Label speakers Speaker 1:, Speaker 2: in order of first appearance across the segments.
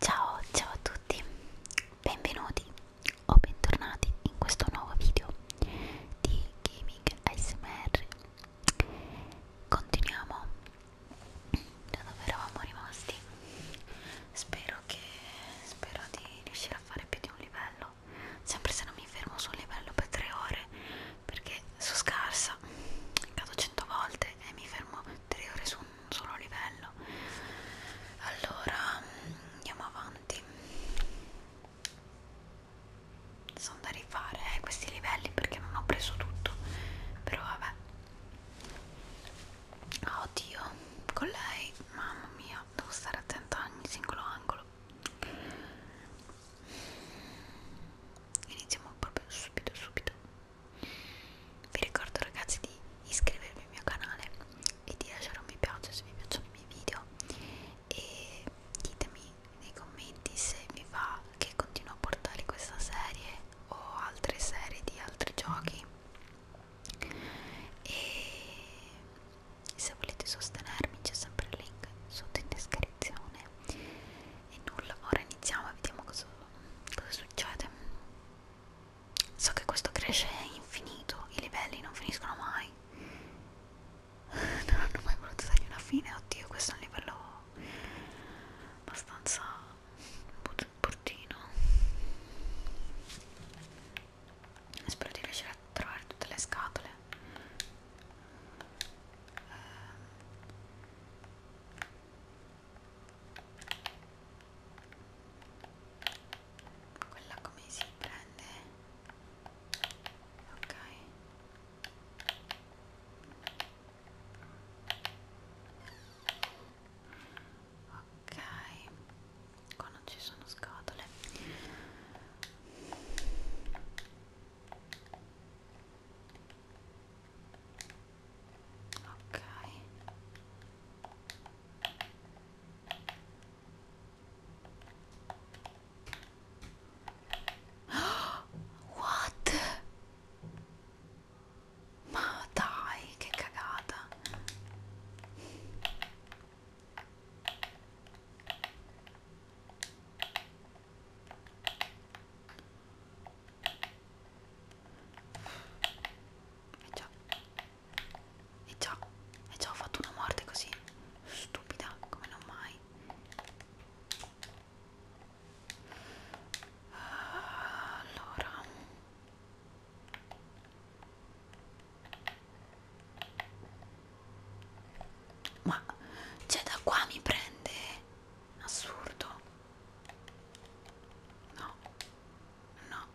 Speaker 1: Ciao, ciao a tutti, benvenuti o bentornati in questo nuovo video di Gaming ASMR. Continuiamo da dove eravamo rimasti. Spero che spero di riuscire a fare più di un livello, sempre se non mi fermo su un livello per tre ore, perché sono scarsa, cado 100 volte e mi fermo 3 ore su un solo livello allora andiamo avanti sono da rifare eh, questi livelli perché non ho preso tutto però vabbè ah, oddio con lei mamma mia devo stare attenta a ogni singolo angolo iniziamo proprio subito subito vi ricordo ragazzi di iscrivervi al mio canale e di lasciare un mi piace se vi piacciono i miei video e ditemi nei commenti se vi va che continuo a portare questa serie o altre serie di altri giochi e se volete sostenermi c'è sempre il link sotto in descrizione e nulla, ora iniziamo e vediamo cosa, cosa succede so che questo cresce infinito i livelli non finiscono mai non hanno mai voluto dargli una fine oddio questo è un livello abbastanza bruttino spero di riuscire a trovare tutte le scatole ehm, quella come si prende ok ok qua non ci sono scatole ok what ma dai che cagata e già, e già, e già ho fatto una morte così stupida come non mai. Allora, ma cioè da qua mi prende assurdo no no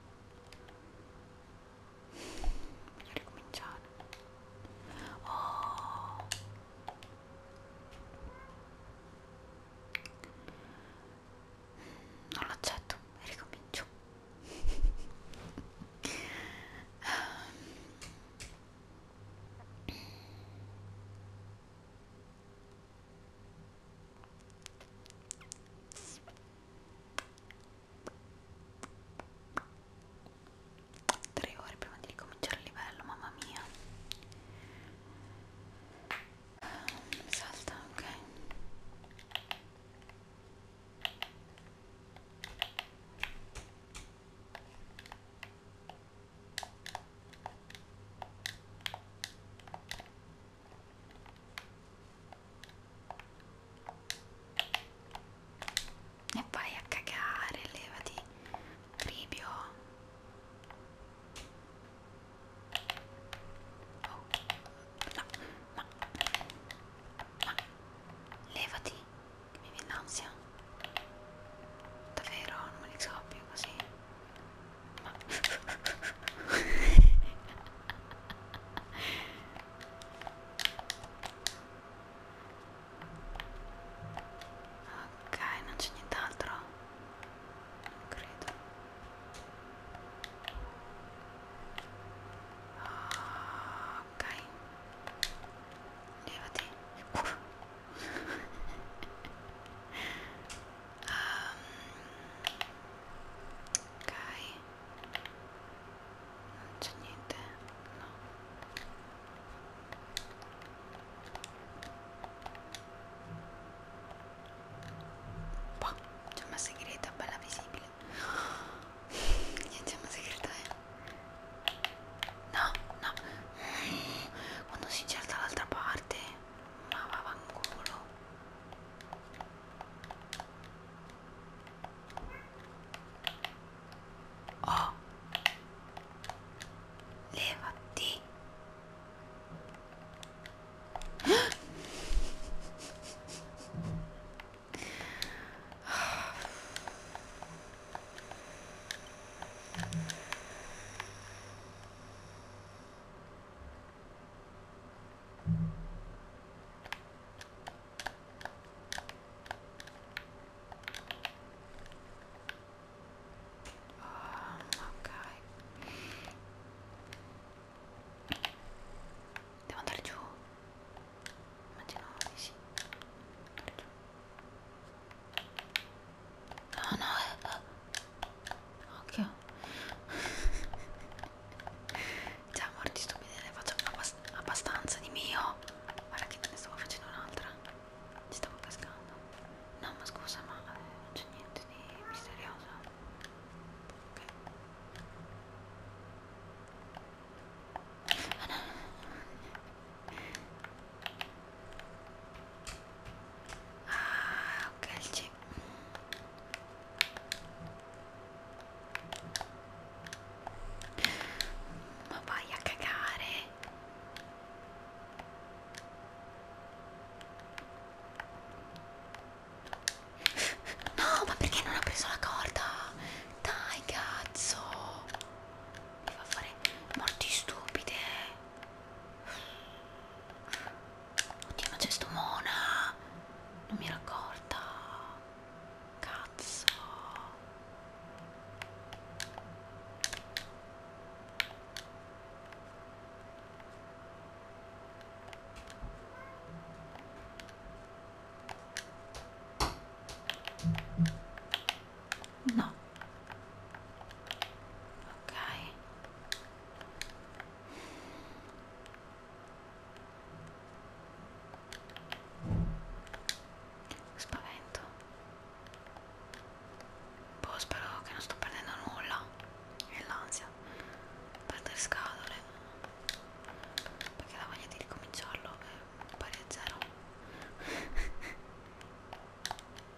Speaker 1: voglio ricominciare oh non l'accetto e ricomincio Tre ore prima di ricominciare il livello, mamma mia. Mi salta, ok. E vai a cagare, levati, Ribio. Oh, no, ma, ma, levati, che mi viene l'ansia. Davvero? Non me li scoppio così? Ma... ok, non c'è nient'altro? Non credo. Ah, ok. Levati um, ok non c'è niente no boh, c'è una segreta bella visibile niente una segreta eh no no quando si gira dall'altra parte ma va vangolo oh levati Ah, ok devo andare giù immagino di sì andare giù No, no, eh, eh. occhio. Già, morti stupidi, ne faccio abbast abbastanza di mio. Guarda che ne stavo facendo un'altra. Ci stavo cascando. No, ma scusa, ma eh, non c'è niente di misterioso. Ok. Ah, no. Ah, ok, il G. Ma vai a cagare. No, ma perché non ha preso la corda? Dai, cazzo. Mi fa fare morti stupide. Oddio, ma c'è sto mona! Non mi ero accorta! Cazzo! no ok spavento boh spero che non sto perdendo nulla e l'ansia perdere scatole perché la voglia di ricominciarlo è pari a zero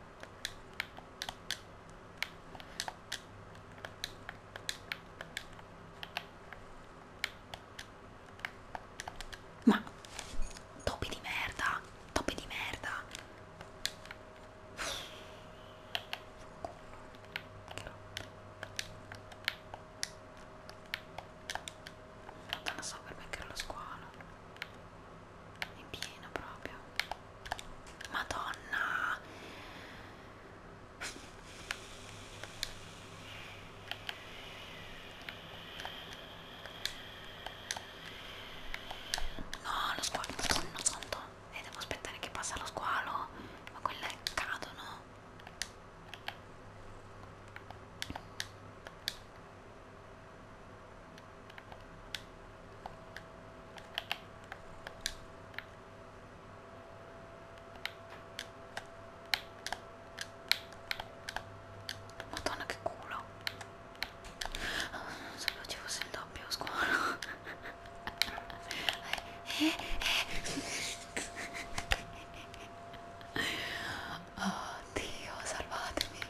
Speaker 1: Ma topi di merda, topi di merda. Non so per me che era lo squalo è pieno proprio madonna no lo squalo madonna santo e eh, devo aspettare che passa lo squalo ma quelle cadono Madonna che culo Non sapevo ci fosse il doppio a scuola eh, eh. Oddio salvatemi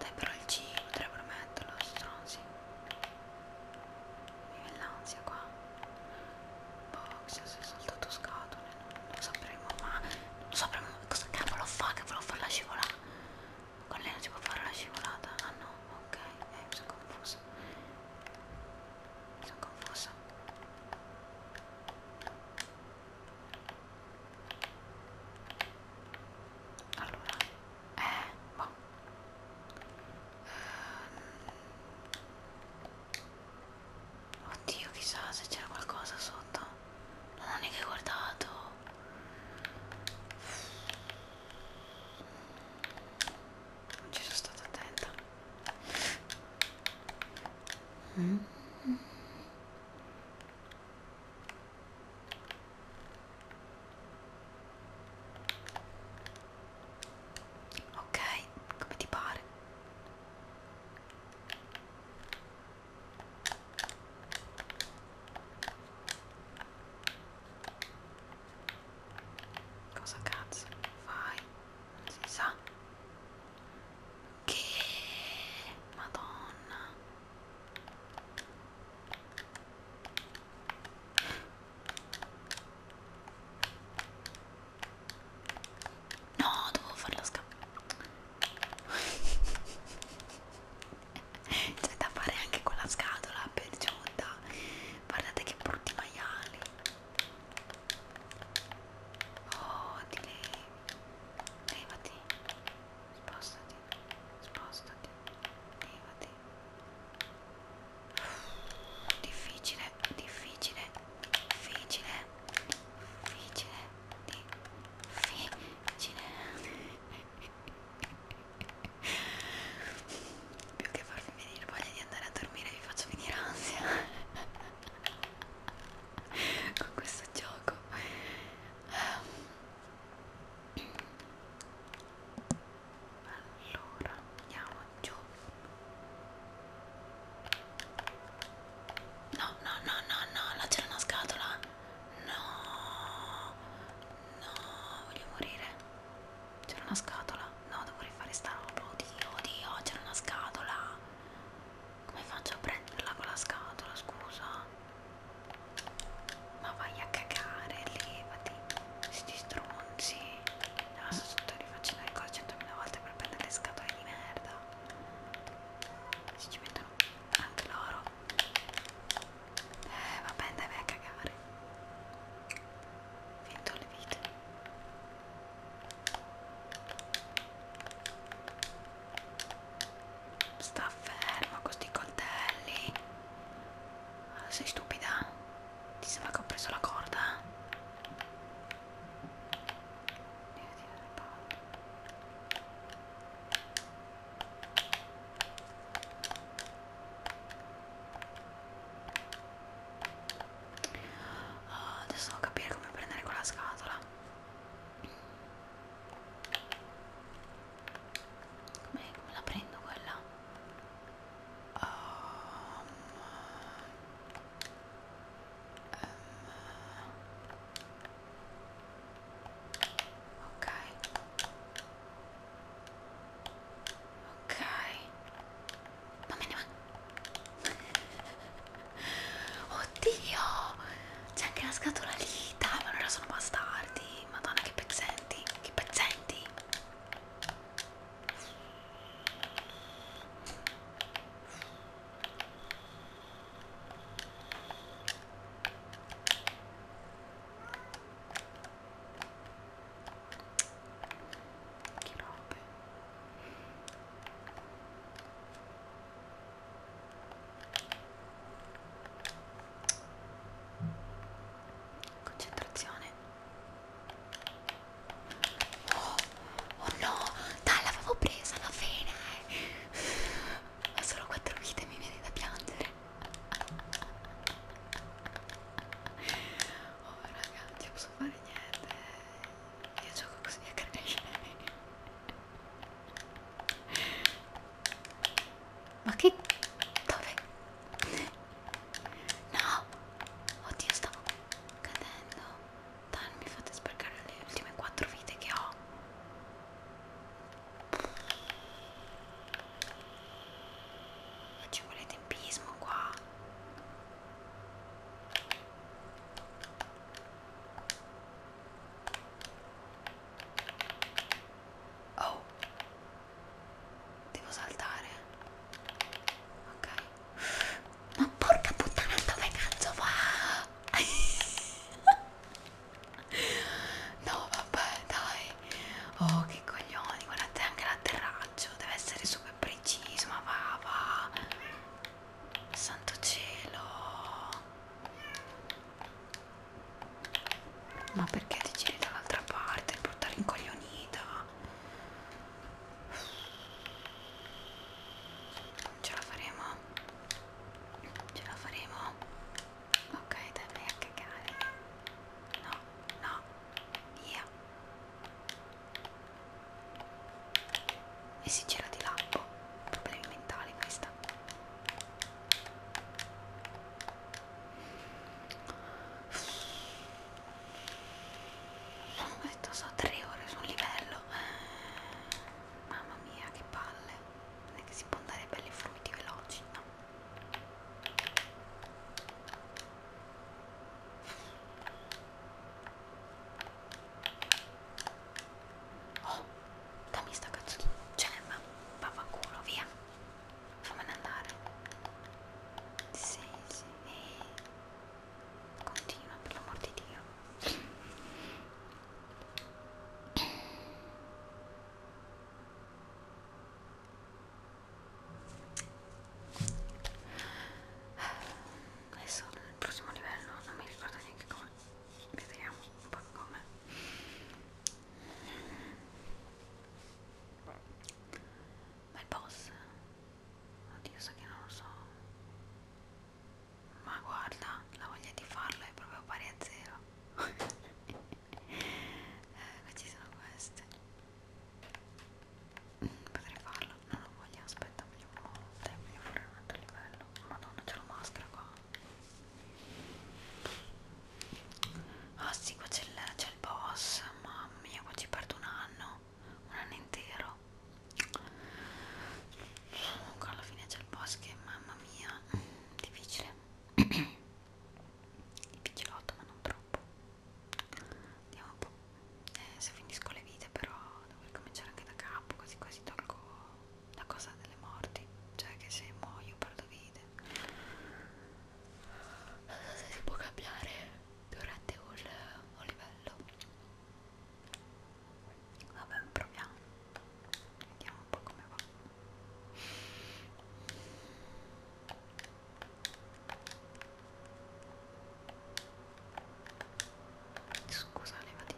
Speaker 1: Dai però il G potrebbero metterlo, stronzi. Mi viene l'ansia qua. Boh, se sei saltato scatole, non lo sapremo, ma non lo sapremo cosa cavolo fa che volevo farla scivolare. Con lei non si può fare la scivolata? Ah no, ok, eh, mi sono confusa sono confusa allora eh boh um, oddio chissà se c'era qualcosa sotto non ho neanche guardato non ci sono stata attenta Mm. Ok, come ti pare? Cosa cazzo fai? Non si sa. Che madonna. No, dovevo farla scappare. C'è da fare anche con la scatola per giunta. Guardate che brutti maiali. Oh, ti levi. Levati. Spostati. Spostati. Levati. Difficile, difficile, difficile, difficile, difficile più che farvi venire voglia di andare a dormire vi faccio venire ansia con questo gioco um. allora andiamo giù no no no no no là c'era una scatola no no voglio morire c'era una scatola? No, devo rifare sta roba. Oddio, oddio, c'era una scatola. Come faccio a prenderla con la scatola, scusa? Ma vai a cagare, levati. Sti stronzi. Adesso sto rifacendo le cose 100.000 volte per prendere le scatole di merda. Si ci mettono anche loro. Eh, vabbè, dai, vai a cagare finto le vite sta fermo con sti coltelli ah, sei stupida ti sembra che ho preso la corda devi tirare le palle Uh, adesso devo capire come prendere quella scatola. Come, come la prendo quella? Um, um, ok. Ok. Ma me ne va. Oddio! C'è anche la scatola lì. Dai, ma allora sono bastardi. Madonna, che pezzenti. Che pezzenti. Che robe. Concentrazione. Oh, oh no, dai, l'avevo presa alla fine. Ho solo quattro vite e mi viene da piangere. Oh raga, non ti posso fare niente. Io gioco così a crescere. Ma che... dove? No! Oddio, stavo cadendo. Dai, non mi fate spercare le ultime quattro vite che ho. Ci volete tempismo qua oh devo saltare ok ma porca puttana dove cazzo va no vabbè dai Oh, che coglioni, guardate anche l'atterraggio, deve essere super preciso, ma va, va. Santo cielo. Ma perché ti giri dall'altra parte per portare incoglionita? Ce la faremo? Ce la faremo? Ok, dai, vai a cagare. No, no yeah. e si gira di là oh, problemi mentali questa sono detto so tre ore su un livello mamma mia che palle non è che si può andare belli fruiti veloci no Oh, dammi sta cazzo di gemma, vaffanculo, via, fammene andare. Sì, sì, continua per l'amor di Dio. adesso nel prossimo livello non mi ricordo neanche come vediamo un po' come ma il boss oddio so che non lo so ma guarda la voglia di farlo è proprio pari a zero eh, ci sono queste Potrei farlo, non lo voglio, aspetta, voglio un monte, voglio fare un altro livello. Madonna, c'è la maschera qua. Ah sì, qua c'è il, il boss, mamma mia, qua ci perdo un anno, un anno intero. Comunque alla fine c'è il boss che, mamma mia, difficile. il picciolotto ma non troppo andiamo un po' eh, se finisco le vite però devo ricominciare anche da capo quasi quasi tolgo la cosa delle morti cioè che se muoio perdo vite non so se si può cambiare durante un, un livello vabbè proviamo vediamo un po' come va Scusa, levati.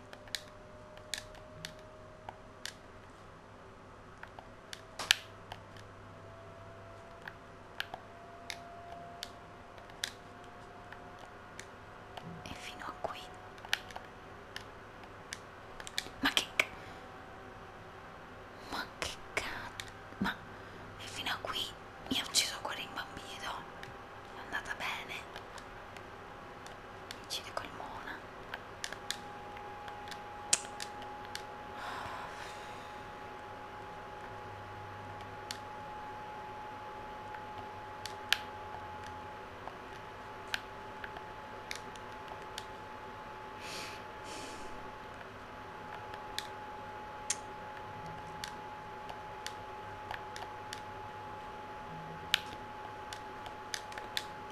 Speaker 1: E fino a qui. Ma che... Ma che cazzo? Ma e fino a qui mi ha ucciso ancora il bambino. È andata bene. Mi uccide col mona.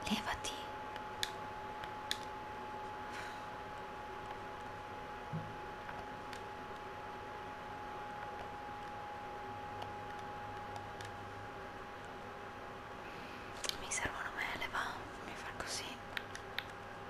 Speaker 1: Levati. Mi servono mele, va, mi fa così.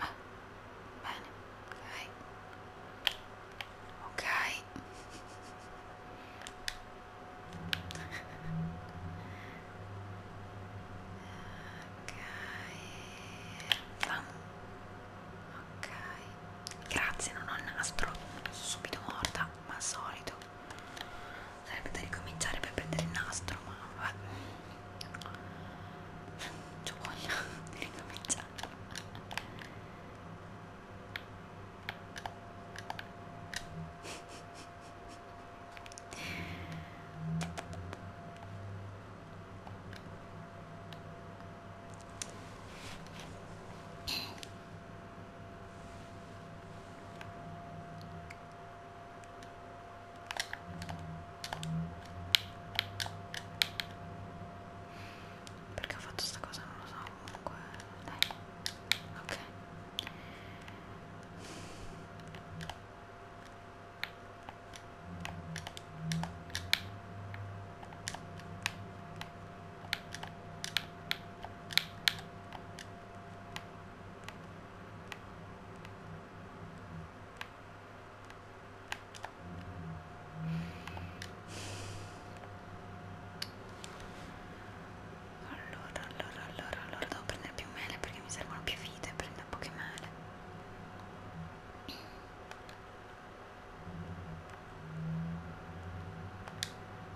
Speaker 1: ah, bene ok ok ok ok grazie non ho il nastro sono subito morta ma al solito sarebbe da ricominciare per prendere il nastro ma vabbè c'ho voglia di ricominciare perché ho fatto sta cosa? Non lo so, comunque. Dai. Ok. Allora, allora, allora, allora devo prendere più mele perché mi servono più vite, prendo poche mele.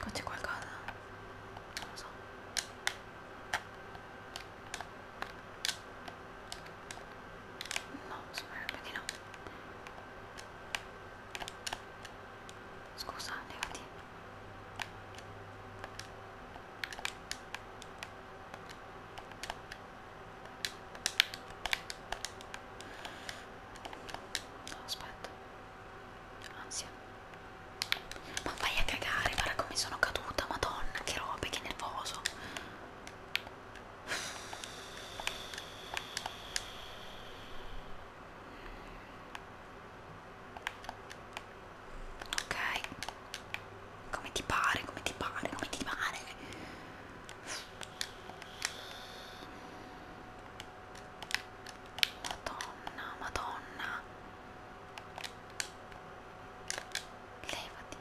Speaker 1: Qua c'è qualcosa? Non lo so. No, sembrerebbe di no. Scusa, levati. No, aspetta ansia ma vai a cagare guarda come sono caduta madonna che robe che nervoso ok come ti pare come ti pare come ti pare Madonna, madonna. Levati.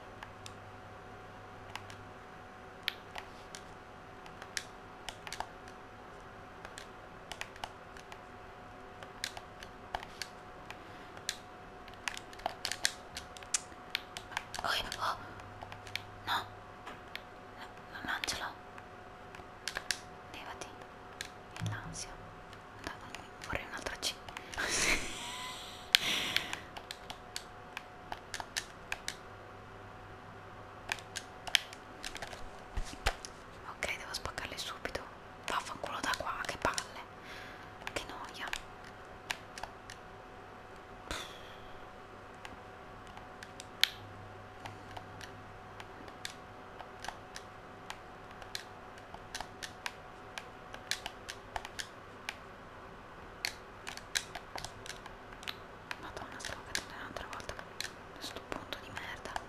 Speaker 1: Oh, oh. No, no, mangialo levati l'ansia no, no, vorrei un'altra C ok devo spaccarle subito vaffanculo da qua che palle che noia Madonna, stavo cadendo un'altra volta a sto punto di merda.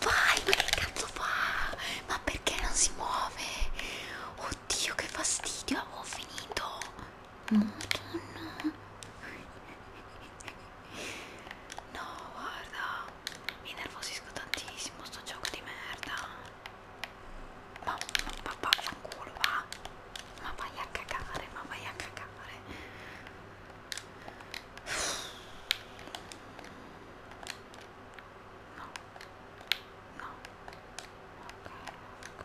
Speaker 1: Vai, ma che cazzo fa? Ma perché non si muove? Oddio, che fastidio, avevo finito. Madonna. No, guarda mi innervosisco tantissimo sto gioco di merda ma papà fa un culo va ma vai a cagare ma vai a cagare no no ok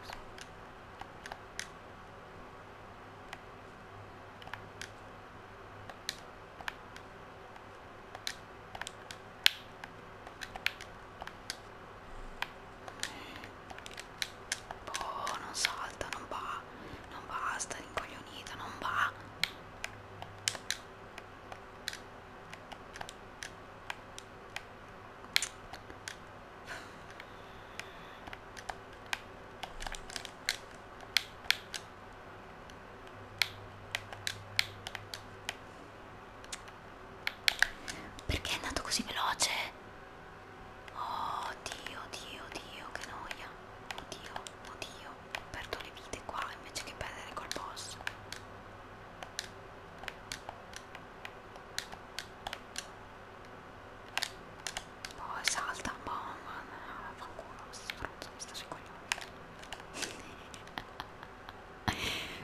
Speaker 1: così ok Oh, non salta, non va, non basta, rincoglionita, non va. Perché è andato così veloce? Oh Dio, Dio, Dio, che noia. Oddio, oddio, perdo le vite qua invece che perdere col boss. Poi salta un po', ma no, fanculo, mi sta sui coglioni.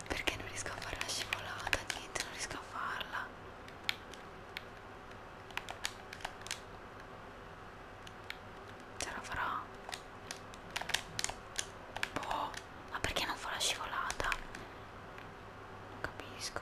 Speaker 1: Perché non riesco a fare la scivolata, niente, non riesco a farla. Ce la farò. Boh, ma perché non fa la scivolata? Non capisco.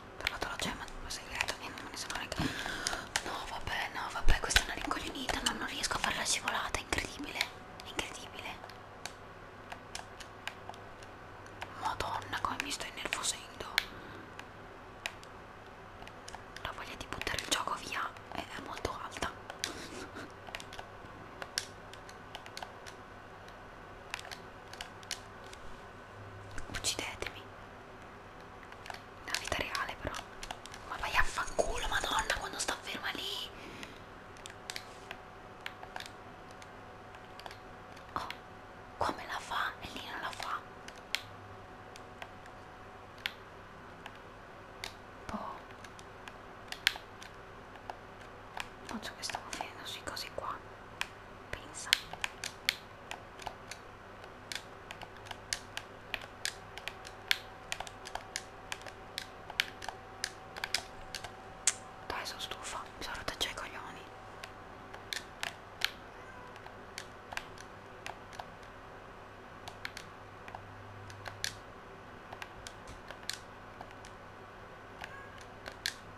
Speaker 1: ho trovato la gemma segreta e non me ne sono neanche no vabbè no vabbè questa è una rincoglionita ma non riesco a farla scivolata è incredibile è incredibile madonna come mi sto innervosendo la voglia di buttare il gioco via è molto alta Uccidetemi. Nella vita reale però. Ma vai a fanculo, madonna, quando sto ferma lì. Oh, qua me la fa e lì non la fa. Boh. Faccio che stavo finendo sui cosi qua. Pensa. Dai, sono stufa, mi sono rotta già i coglioni.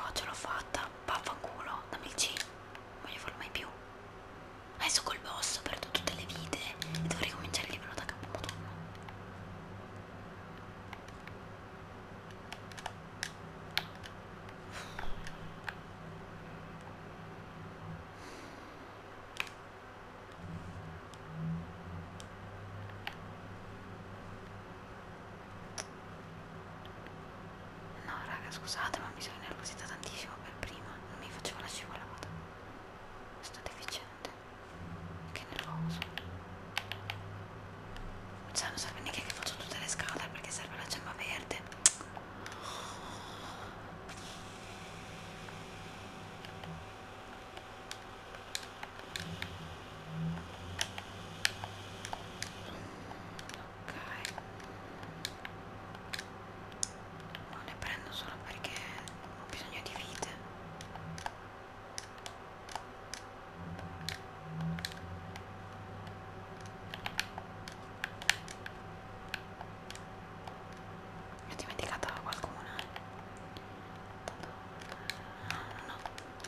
Speaker 1: Oh, ce l'ho fatta, vaffanculo, dammi il C, non voglio farlo mai più. Adesso col boss ho perduto tutte le vite e devo ricominciare il livello da capo, madonna. No raga scusate ma mi sono innervosita tantissimo per prima, non mi facevo la scivolata. Sto deficiente. Che nervoso. Cioè non serve neanche che faccio tutte le scatole perché serve la gemma verde. Ok. Non ne prendo solo perché ho bisogno di vite. Ne ho dimenticata qualcuna. Eh. Tanto... Ah, no, no, no.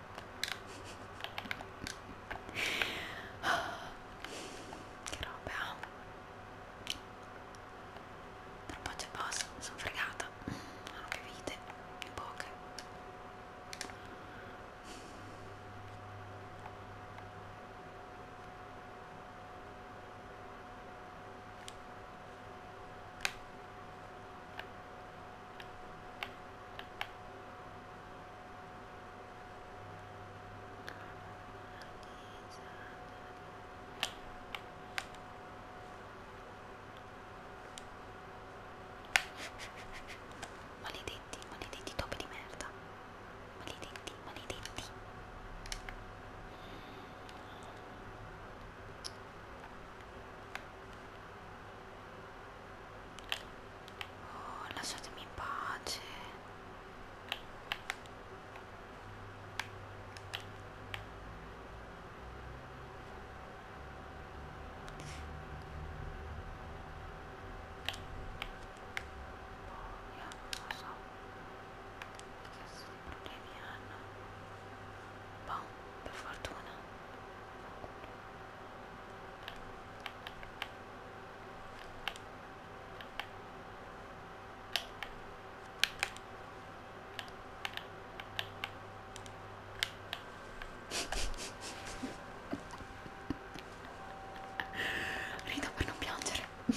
Speaker 1: Che roba. Eh? Però c'è posto, sono fregata. Non mm, ho più vite, in poche. Maledetti, maledetti topi di merda. Maledetti, maledetti. Oh, lasciatemi in pace. Io non lo so che problemi hanno. Boh, per fortuna. Rido per non piangere. Il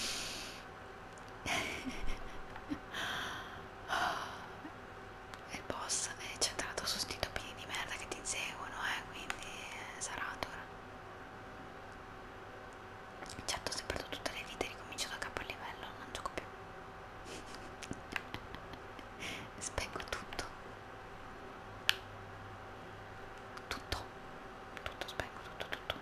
Speaker 1: boss è centrato su sti topini di merda che ti inseguono, eh, quindi eh, sarà dura certo se perdo tutte le vite ricomincio da capo a livello non gioco più spengo tutto tutto tutto spengo tutto tutto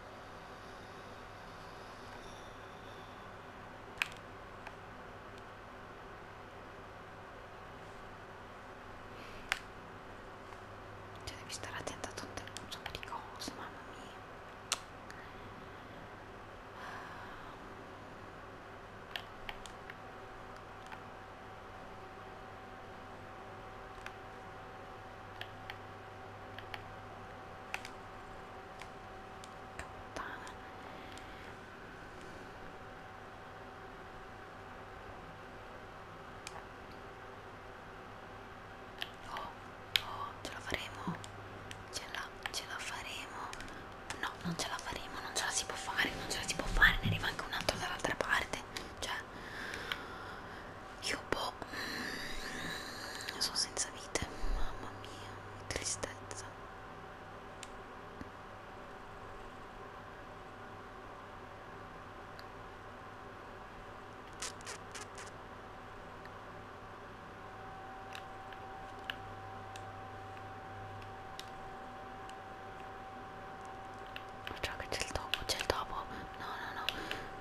Speaker 1: Cioè devi stare attenta a tutte un sacco di cose, mamma mia. Campana. Oh, oh, ce la faremo. Ce la, ce la faremo. No, non ce la faremo, non ce la si può fare, non ce la si può fare, ne arriva anche un altro dall'altra parte. Cioè, io boh, Oh, sono senza vite, mamma mia, che tristezza. Già che c'è il topo, c'è il topo. No, no, no.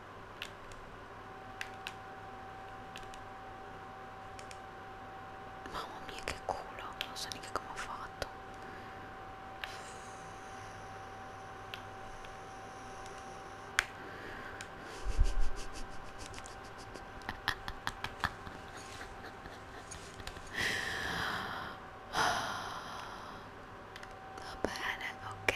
Speaker 1: Mamma mia che culo, non so neanche come ho fatto. Va bene, ok.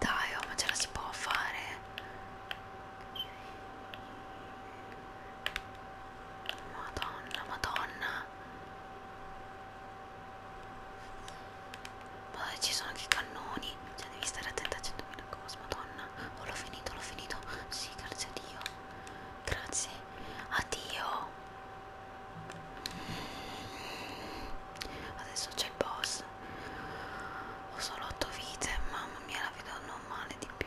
Speaker 1: Dai, oh, ma ce la si può fare. Madonna, madonna. Ma dai, ci sono anche i cannoni. Cioè, devi stare attenta a 100.000 cose, madonna. Oh, l'ho finito, l'ho finito. Sì, grazie a Dio. Grazie a Dio. Adesso c'è il boss. Forse ho solo 8 vite, mamma mia la vedo non male di più.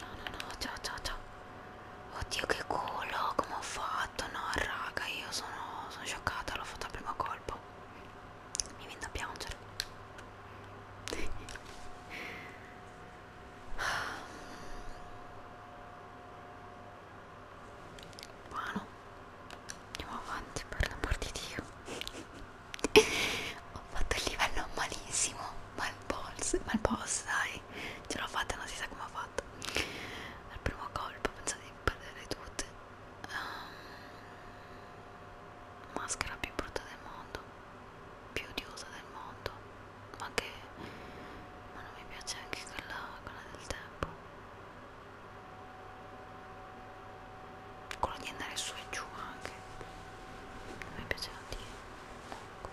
Speaker 1: no no ciao ciao ciao oddio che culo come ho fatto no raga io sono, sono scioccata l'ho fatto al primo colpo mi viene da piangere buono andiamo avanti per l'amor di Dio ho fatto il livello malissimo malpols, malpols dai ce l'ho fatta non si sa come ho fatto al primo colpo pensavo di perdere tutte um, maschera più brutta del mondo più odiosa del mondo ma che ma non mi piace anche quella, quella del tempo quello di andare su e giù anche non mi piaceva tanto ecco.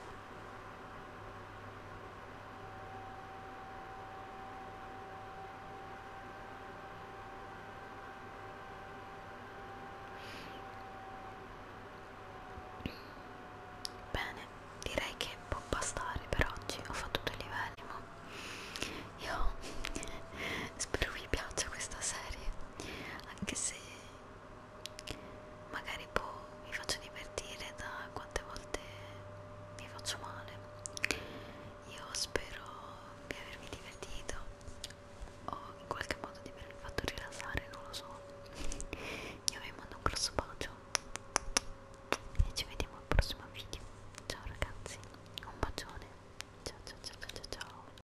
Speaker 1: Bene, direi che può bastare per oggi, ho fatto due livelli, ma io spero vi piaccia questa serie, anche se magari poi boh, vi faccio divertire da quante volte vi faccio male io spero di avervi divertito o in qualche modo di avervi fatto rilassare non lo so io vi mando un grosso bacio e ci vediamo al prossimo video ciao ragazzi un bacione ciao ciao ciao ciao ciao